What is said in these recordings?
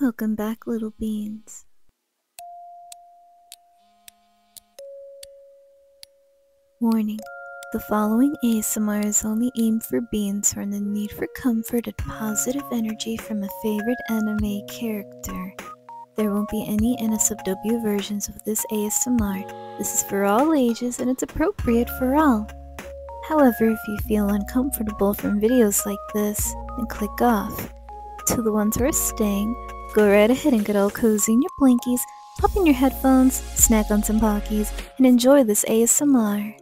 Welcome back, little beans. Warning The following ASMR is only aimed for beans who are in need for comfort and positive energy from a favorite anime character. There won't be any NSFW versions of this ASMR. This is for all ages and it's appropriate for all. However, if you feel uncomfortable from videos like this, then click off. To the ones who are staying, go right ahead and get all cozy in your blankies, pop in your headphones, snack on some Pockies, and enjoy this ASMR.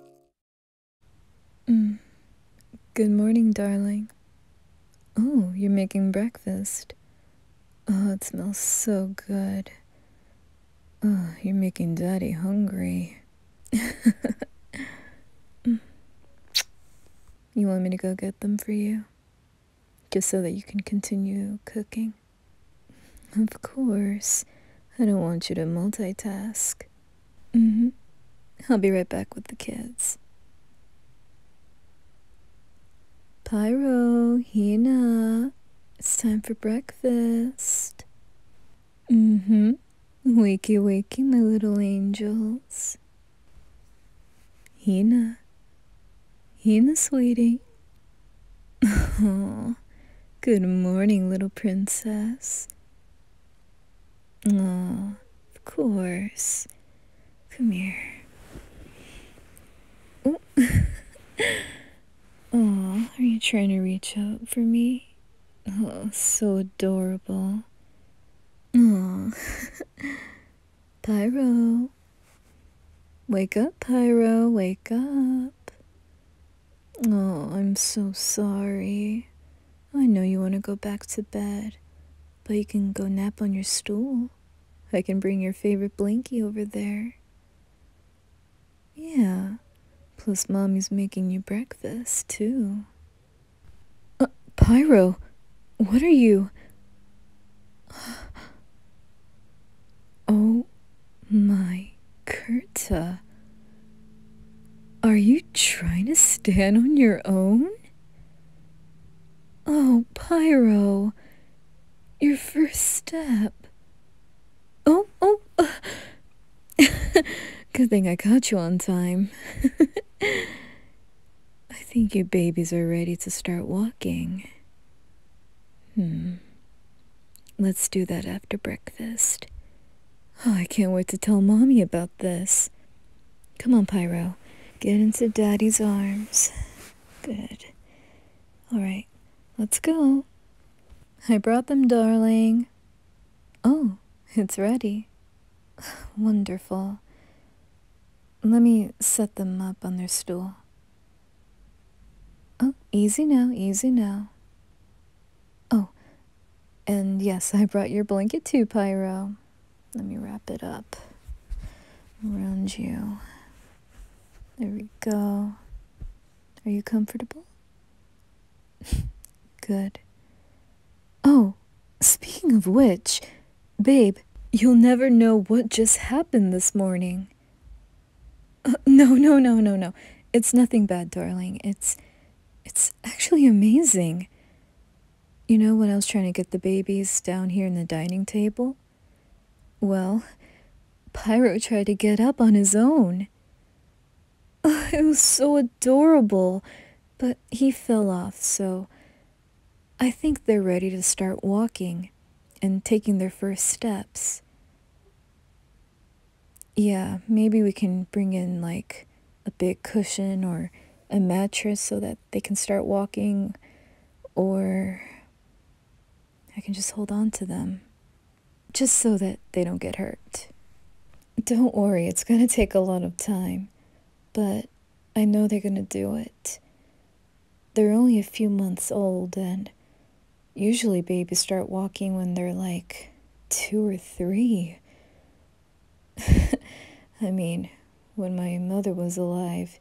Hmm. Good morning, darling. Oh, you're making breakfast. Oh, it smells so good. Oh, you're making daddy hungry. you want me to go get them for you? Just so that you can continue cooking? Of course. I don't want you to multitask. Mm-hmm. I'll be right back with the kids. Pyro, Hina, it's time for breakfast. Mm hmm. Wakey, wakey, my little angels. Hina. Hina, sweetie. Oh, good morning, little princess. Oh, of course. Come here. Oh. Oh, are you trying to reach out for me? Oh, so adorable. Oh. Pyro. Wake up, Pyro, wake up. Oh, I'm so sorry. I know you want to go back to bed, but you can go nap on your stool. I can bring your favorite blankie over there. Yeah. Plus, Mommy's making you breakfast, too. Uh, Pyro, what are you? Oh my Kurta. Are you trying to stand on your own? Oh, Pyro, your first step. Oh, oh. Good thing I caught you on time. I think your babies are ready to start walking. Hmm. Let's do that after breakfast. Oh, I can't wait to tell Mommy about this. Come on, Pyro. Get into Daddy's arms. Good. All right, let's go. I brought them, darling. Oh, it's ready. Wonderful. Let me set them up on their stool. Oh, easy now, easy now. Oh, and yes, I brought your blanket too, Pyro. Let me wrap it up around you. There we go. Are you comfortable? Good. Oh, speaking of which, babe, you'll never know what just happened this morning. Uh, no, no, no, no, no. It's nothing bad, darling. It's it's actually amazing. You know when I was trying to get the babies down here in the dining table? Well, Pyro tried to get up on his own. Oh, it was so adorable, but he fell off, so I think they're ready to start walking and taking their first steps. Yeah, maybe we can bring in like a big cushion or a mattress so that they can start walking, or I can just hold on to them just so that they don't get hurt. Don't worry, it's going to take a lot of time, but I know they're going to do it. They're only a few months old, and usually babies start walking when they're like two or three. I mean, when my mother was alive,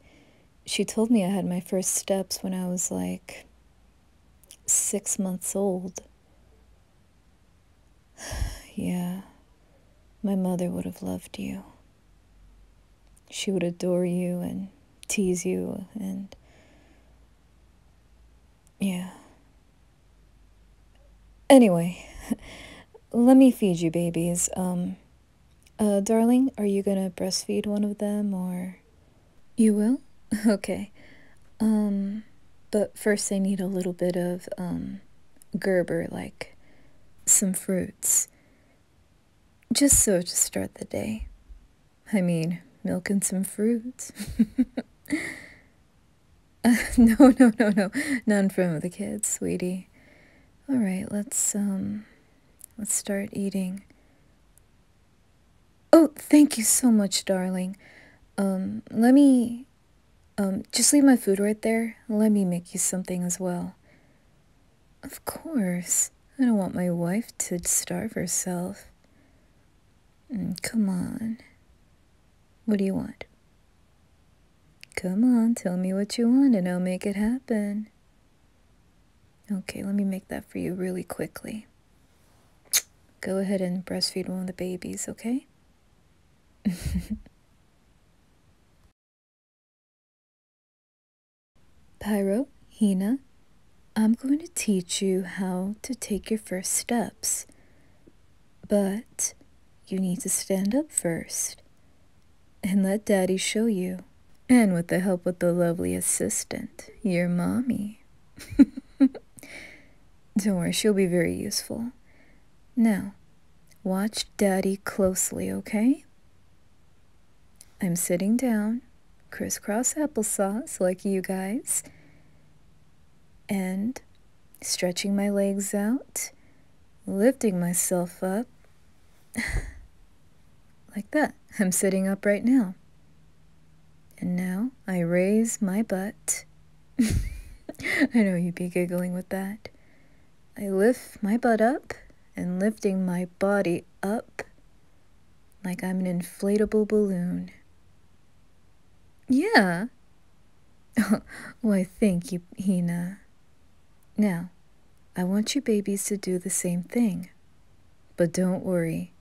she told me I had my first steps when I was like six months old. yeah, my mother would have loved you. She would adore you and tease you and. Yeah. Anyway, let me feed you babies. Um, uh, darling, are you gonna breastfeed one of them or. You will? Okay. Um, but first I need a little bit of, um, Gerber, like some fruits. Just so to start the day. I mean, milk and some fruits. uh, no, no, no, no. None from the kids, sweetie. All right, let's, um, let's start eating. Oh, thank you so much, darling. Um, let me. Um, just leave my food right there. Let me make you something as well. Of course. I don't want my wife to starve herself. Mm, come on. What do you want? Come on, tell me what you want and I'll make it happen. Okay, let me make that for you really quickly. Go ahead and breastfeed one of the babies, okay? Pyro, Hina, I'm going to teach you how to take your first steps. But you need to stand up first and let Daddy show you. And with the help of the lovely assistant, your mommy. Don't worry, she'll be very useful. Now, watch Daddy closely, okay? I'm sitting down, crisscross apple sauce like you guys, and stretching my legs out, lifting myself up. Like that. I'm sitting up right now. And now I raise my butt. I know you'd be giggling with that. I lift my butt up and lifting my body up like I'm an inflatable balloon. Yeah. Why, thank you, Hina. Now, I want you babies to do the same thing. But don't worry,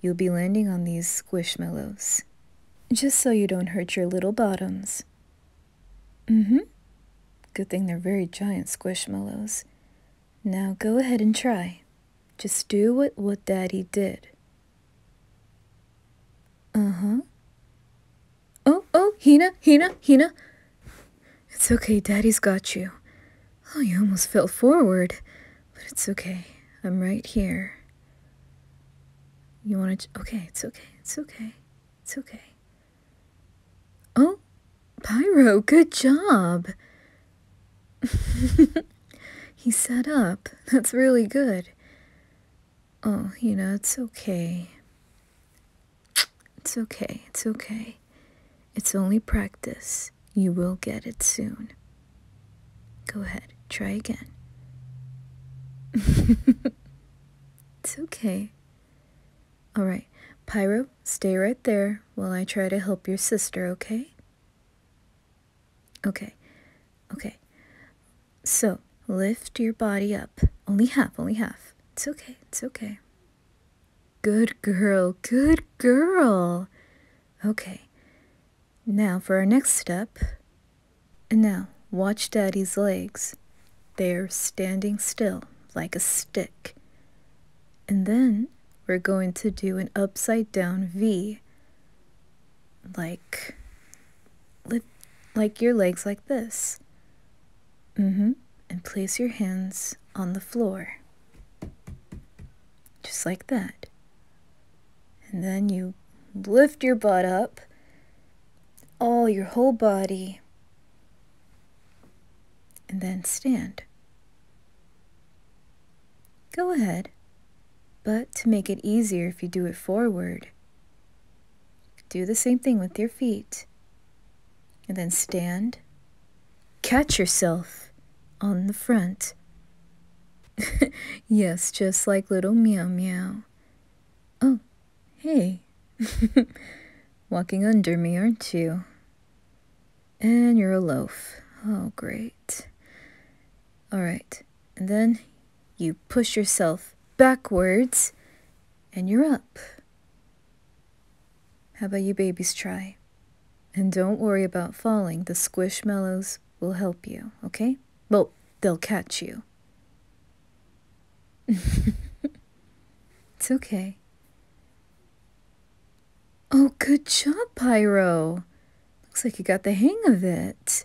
you'll be landing on these squishmallows. Just so you don't hurt your little bottoms. Mm-hmm. Good thing they're very giant squishmallows. Now go ahead and try. Just do what, what Daddy did. Uh-huh. Oh, oh, Hina, Hina, Hina. It's okay, Daddy's got you. Oh, you almost fell forward. But it's okay. I'm right here. You want to. Okay, it's okay. It's okay. It's okay. Oh, Pyro, good job. he sat up. That's really good. Oh, you know, it's okay. It's okay. It's okay. It's only practice. You will get it soon. Go ahead, try again. it's okay. Alright, Pyro, stay right there while I try to help your sister, okay? Okay, okay. So, lift your body up. Only half, only half. It's okay, it's okay. Good girl, good girl. Okay, now for our next step. And now, watch Daddy's legs. They're standing still like a stick. And then we're going to do an upside down V. Like, like your legs like this. Mm-hmm and place your hands on the floor. Just like that. And then you lift your butt up, all your whole body, and then stand. Go ahead, but to make it easier if you do it forward, do the same thing with your feet and then stand. Catch yourself on the front. yes, just like little meow meow. Oh, hey. Walking under me, aren't you? And you're a loaf. Oh, great. All right. And then you push yourself backwards and you're up. How about you babies try? And don't worry about falling. The squish squishmallows will help you, okay? Well, they'll catch you. it's okay. Oh, good job, Pyro. Looks like you got the hang of it.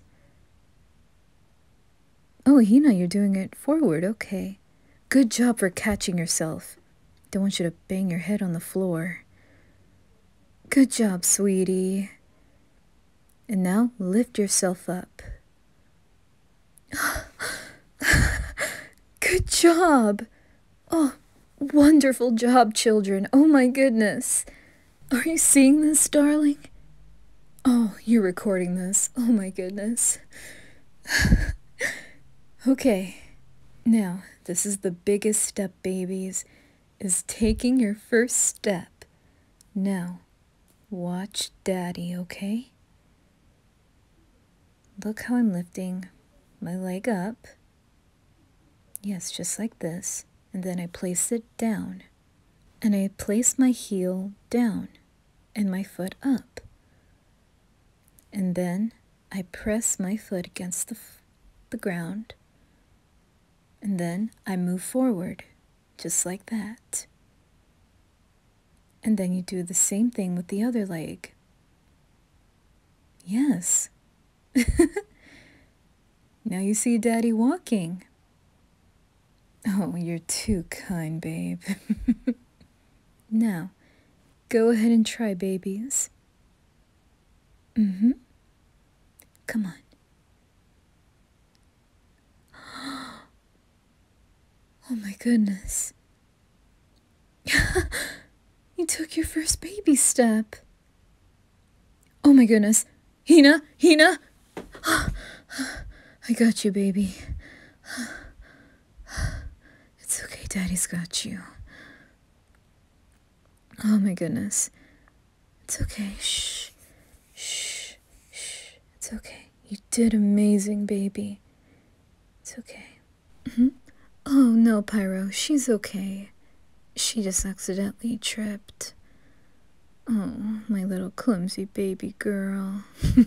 Oh, Hina, you're doing it forward. Okay. Good job for catching yourself. Don't want you to bang your head on the floor. Good job, sweetie. And now lift yourself up. Good job. Oh, wonderful job, children. Oh my goodness. Are you seeing this, darling? Oh, you're recording this. Oh my goodness. okay. Now, this is the biggest step, babies, is taking your first step. Now, watch daddy, okay? Look how I'm lifting my leg up. Yes, just like this. And then I place it down. And I place my heel down and my foot up. And then I press my foot against the, the ground and then I move forward just like that. And then you do the same thing with the other leg. Yes. now you see daddy walking. Oh, you're too kind, babe. now, Go ahead and try, babies. Mm hmm. Come on. Oh my goodness. you took your first baby step. Oh my goodness. Hina, Hina. I got you, baby. It's okay, Daddy's got you. Oh my goodness. It's okay. Shh. Shh. Shh. It's okay. You did amazing, baby. It's okay. Mm-hmm. Oh no, Pyro. She's okay. She just accidentally tripped. Oh, my little clumsy baby girl.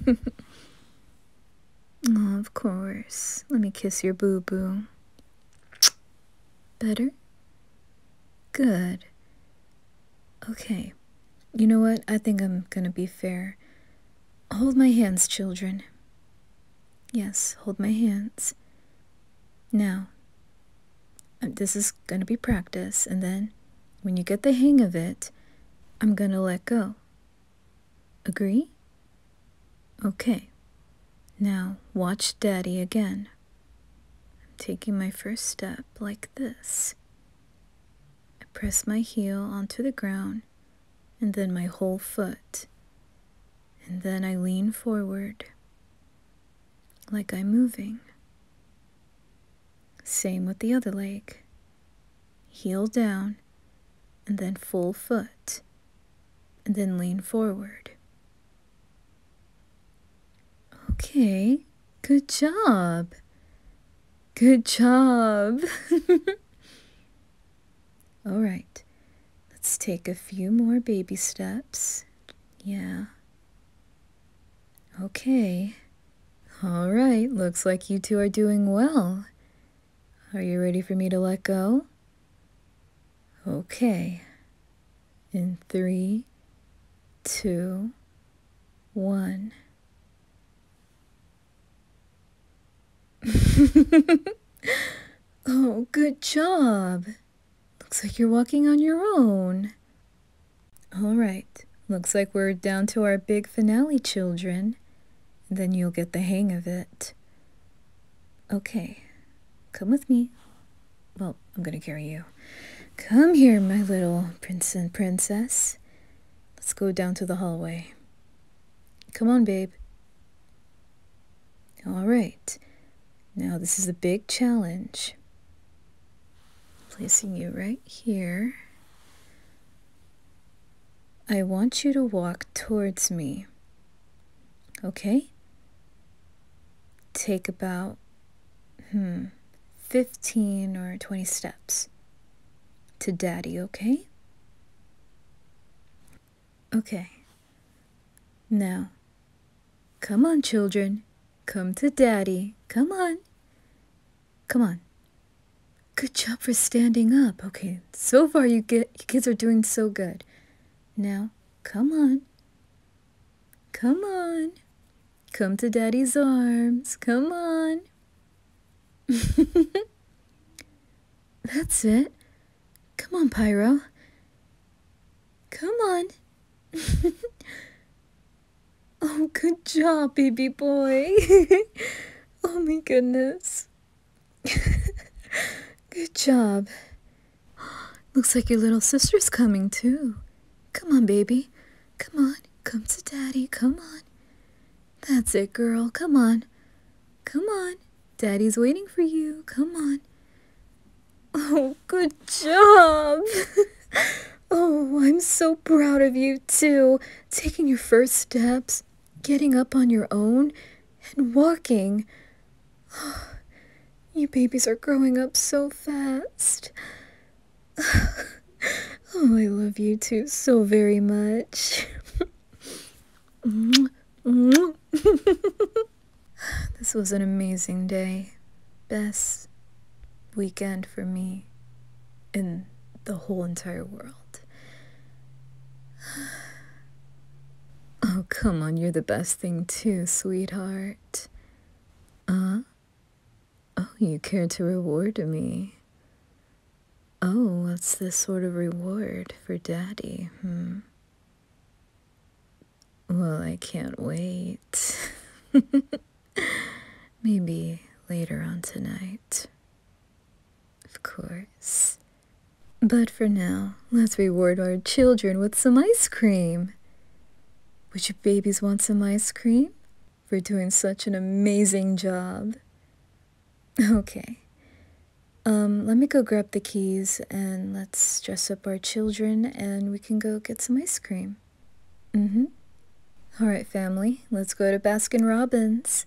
Oh, of course. Let me kiss your boo boo. Better? Good. Okay. You know what? I think I'm gonna be fair. Hold my hands, children. Yes, hold my hands. Now, um, this is gonna be practice, and then when you get the hang of it, I'm gonna let go. Agree? Okay. Now watch Daddy again. I'm taking my first step like this. I press my heel onto the ground and then my whole foot. And then I lean forward like I'm moving. Same with the other leg heel down, and then full foot, and then lean forward. Okay, good job. Good job. All right, let's take a few more baby steps. Yeah. Okay. All right, looks like you two are doing well. Are you ready for me to let go? Okay. In three, two, one. oh, good job. Looks like you're walking on your own. All right. Looks like we're down to our big finale, children. Then you'll get the hang of it. Okay, come with me. Well, I'm gonna carry you. Come here, my little prince and princess. Let's go down to the hallway. Come on, babe. All right. Now, this is a big challenge. Placing you right here. I want you to walk towards me. Okay? Take about, hmm, 15 or 20 steps to daddy, okay? Okay. Now, come on, children. Come to daddy. Come on. Come on. Good job for standing up. Okay, so far you, get, you kids are doing so good. Now, come on. Come on. Come to daddy's arms. Come on. That's it. Come on, Pyro. Come on. oh, good job, baby boy. Oh my goodness. Good job. Looks like your little sister's coming too. Come on, baby. Come on. Come to daddy. Come on. That's it, girl. Come on. Come on. Daddy's waiting for you. Come on. Oh, good job. oh, I'm so proud of you, too. Taking your first steps getting up on your own and walking. Oh, you babies are growing up so fast. oh, I love you two so very much. this was an amazing day. Best weekend for me in the whole entire world. Oh, come on, you're the best thing too, sweetheart. Uh? Oh, you care to reward me? Oh, what's this sort of reward for Daddy, hmm? Well, I can't wait. Maybe later on tonight. Of course. But for now, let's reward our children with some ice cream. Would you babies want some ice cream? For doing such an amazing job. Okay. Um, let me go grab the keys and let's dress up our children and we can go get some ice cream. Mm-hmm. All right, family, let's go to Baskin Robbins.